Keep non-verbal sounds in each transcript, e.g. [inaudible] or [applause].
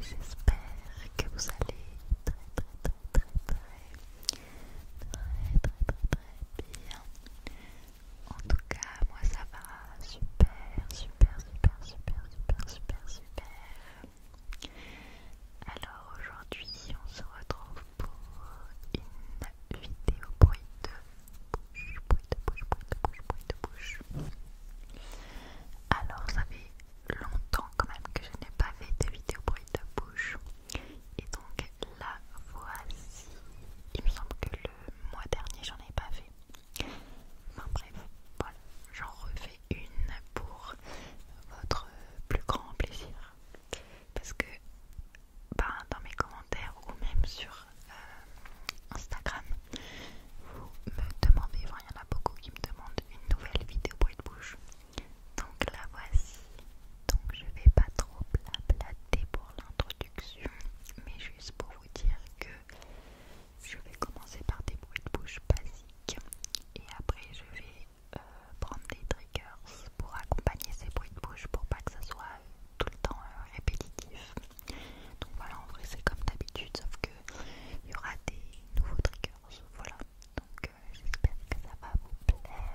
J'espère que vous allez très très très très très très très bien. En tout cas, moi ça va super super super super super super super. Alors aujourd'hui, on se retrouve pour euh, une vidéo bruit de bouche, de de bouche, de bouche. Alors ça fait longtemps quand même que je n'ai pas fait de vidéo bruit de bouche. Et donc la voici. Il me semble que le mois dernier j'en ai pas fait. Enfin bref, voilà, j'en refais une pour votre plus grand plaisir parce que ben, dans mes commentaires ou même sur euh, Instagram vous me demandez, enfin il y en a beaucoup qui me demandent une nouvelle vidéo bruit de bouche donc la voici donc je vais pas trop blablater pour l'introduction mais juste pour vous dire que je vais commencer par des bruits de bouche basiques et après je vais euh, prendre des triggers pour accompagner ces bruits de bouche pour pas que ça soit euh, tout le temps euh, répétitif. Donc voilà, en vrai c'est comme d'habitude, sauf que il y aura des nouveaux triggers. Voilà, donc j'espère que ça va vous plaire.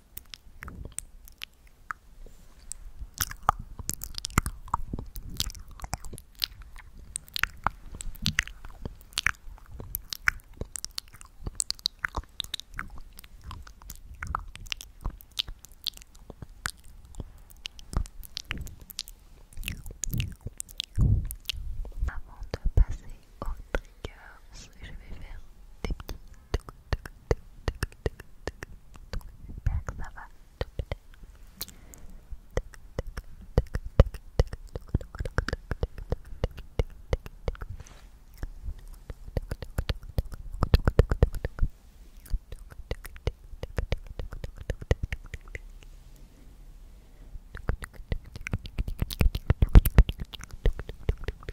Avant de passer au triggers, je vais faire des petits toc toc toc toc toc toc toc j'espère que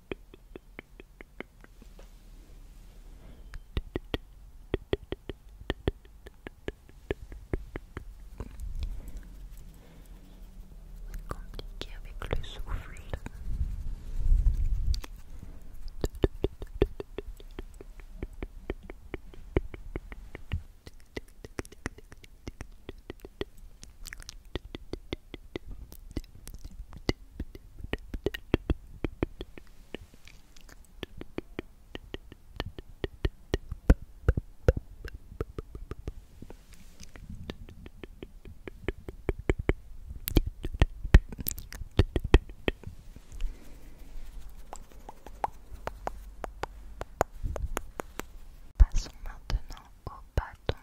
C'est compliqué avec le souffle. Passons maintenant au bâton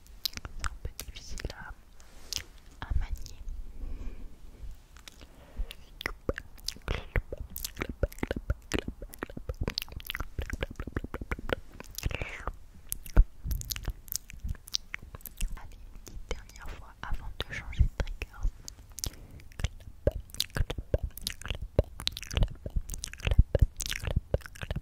c'est un peu difficile à, manier. Allez, dernière fois avant de changer de trigger. Clap, clap, on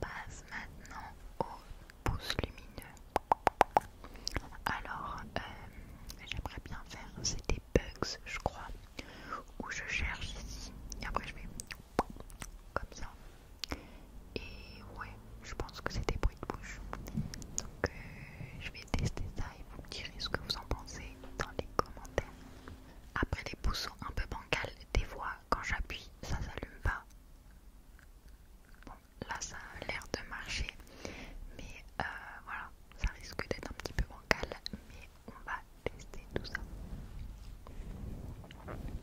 passe maintenant aux pouces lumineux. Alors, euh, j'aimerais bien faire, des Bugs, je crois, où je cherche ici, et après je vais comme ça. Et ouais, je pense que c'est des bruits de bouche. Donc euh, je vais tester ça et vous me direz ce que vous en pensez dans les commentaires. Après les boussons un peu bancales, des fois quand j'appuie, ça s'allume pas. Bon, là ça a l'air de marcher, mais euh, voilà, ça risque d'être un petit peu bancal, mais on va tester tout ça.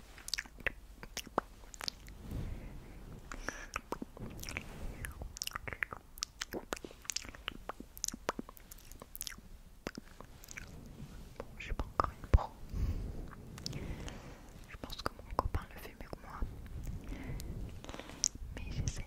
Bon, je suis pas encore une pro. Je pense que mon copain le fait mieux que moi. Mais j'essaye.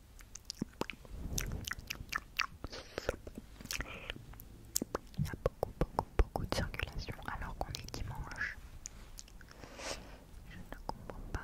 Il y a beaucoup, beaucoup, beaucoup de circulation alors qu'on est dimanche. Je ne comprends pas.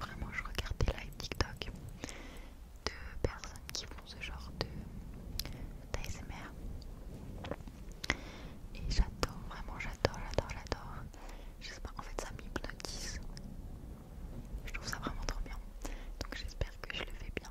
Vraiment, je regarde des live TikTok de personnes qui font ce genre de d'ASMR et j'adore, vraiment j'adore, j'adore, j'adore. Je sais pas, en fait ça m'hypnotise. Je trouve ça vraiment trop bien. Donc j'espère que je le fais bien.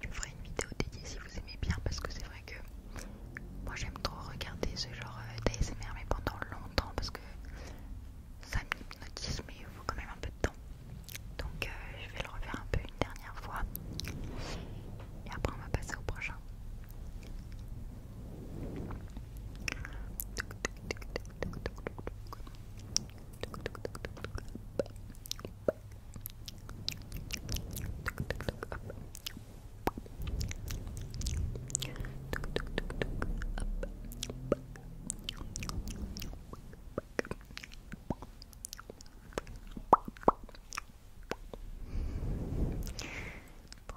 Je ferai une vidéo dédiée si vous aimez bien parce que c'est vrai que moi j'aime trop regarder ce genre euh, d'ASMR mais pendant longtemps parce que ça m'hypnotise mais il faut quand même un peu de temps. Donc euh, je vais le refaire un peu une dernière fois. Et après on va passer au prochain. Bon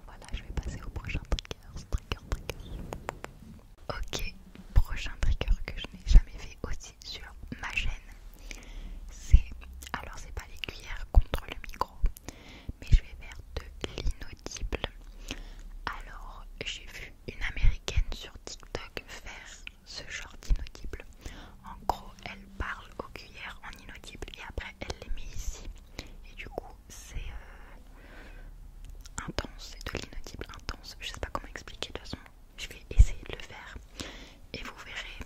voilà, je vais passer au prochain trigger, Ok, prochain trigger que je n'ai jamais fait aussi sur ma chaîne. C'est alors c'est pas les cuillères contre le micro, mais je vais faire de l'inaudible. Alors, j'ai vu une américaine sur TikTok faire ce genre d'inaudible. En gros, elle parle aux cuillères en inaudible et après elle les met ici. Et du coup, c'est euh, intense, c'est de l'inaudible intense. Je sais pas comment expliquer de toute façon. Je vais essayer de le faire et vous verrez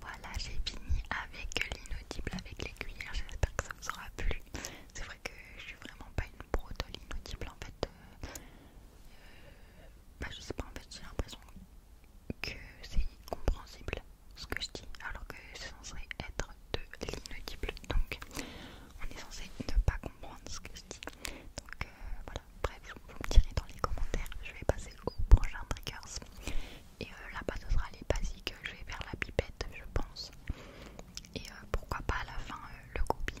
Voilà, j'ai fini avec l'inaudible avec les cuillères. J'espère que ça vous aura plu. C'est vrai que je suis vraiment pas une pro de l'inaudible en fait. Euh, bah, je sais pas, en fait, j'ai l'impression que c'est incompréhensible ce que je dis, alors que c'est censé être de l'inaudible. Donc, on est censé ne pas comprendre ce que je dis. Donc, euh, voilà. Bref, vous me direz dans les commentaires. Je vais passer au prochain triggers et euh, là-bas ce sera les basiques, je vais vers la pipette je pense et euh, pourquoi pas à la fin euh, le goupillon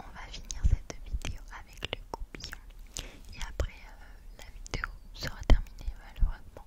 On va finir cette vidéo avec le goupillon et après euh, la vidéo sera terminée malheureusement.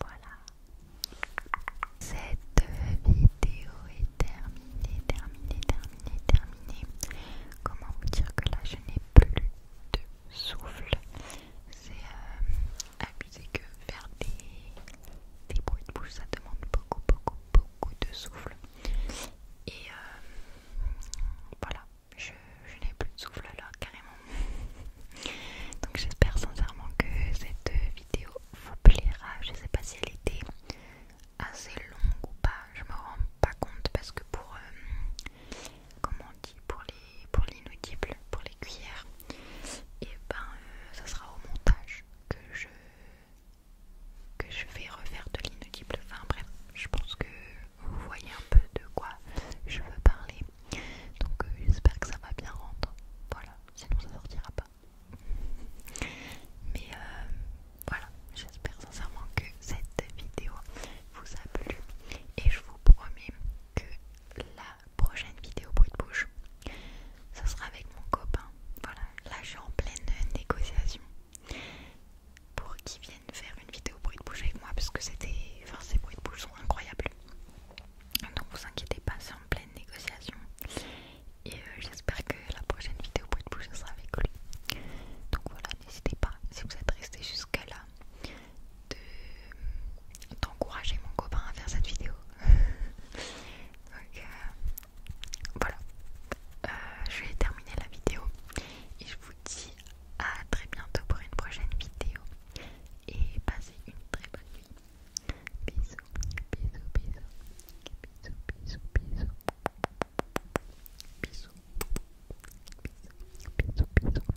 Voilà. Cette vidéo est terminée, terminée, terminée, terminée. Comment vous dire que là je n'ai plus de souffle C'est euh, abusé que faire des, des bruits de bouche ça demande beaucoup, beaucoup, beaucoup de souffle. Et euh, voilà, je, n'ai plus de souffle alors carrément. [laughs] Donc j'espère sincèrement que cette vidéo vous plaira. Je ne sais pas si elle était assez longue ou pas. Je me rends pas compte parce que pour euh, comment on dit pour les pour l'inaudible, pour les cuillères, et eh ben euh, ça sera au montage que je que je vais refaire de l'inaudible. Enfin bref, je pense que vous voyez un peu de quoi je veux parler. Donc euh, j'espère que ça va bien rendre. Voilà, sinon ça sortira pas. Mais euh, voilà, j'espère sincèrement que cette vidéo vous a plu et je vous promets que la prochaine vidéo bruit de bouche, ce sera avec mon copain. Voilà, là je suis en pleine négociation pour qu'ils viennent faire une vidéo bruit de bouche avec moi parce que c'était, enfin ces bruits de bouche sont incroyables. Donc vous inquiétez pas, c'est en pleine négociation. Et euh, j'espère que la prochaine vidéo bruit de bouche sera avec lui. Donc voilà, n'hésitez pas, si vous êtes resté jusqu'à là, d'encourager mon copain à faire cette vidéo. [laughs] Donc euh, voilà, euh, je vais terminer la vidéo et je vous dis à très bientôt pour une prochaine vidéo et passez une très bonne nuit. Bisous, bisous, bisous, bisous, bisous, bisous, bisous, bisous, bisous, bisous.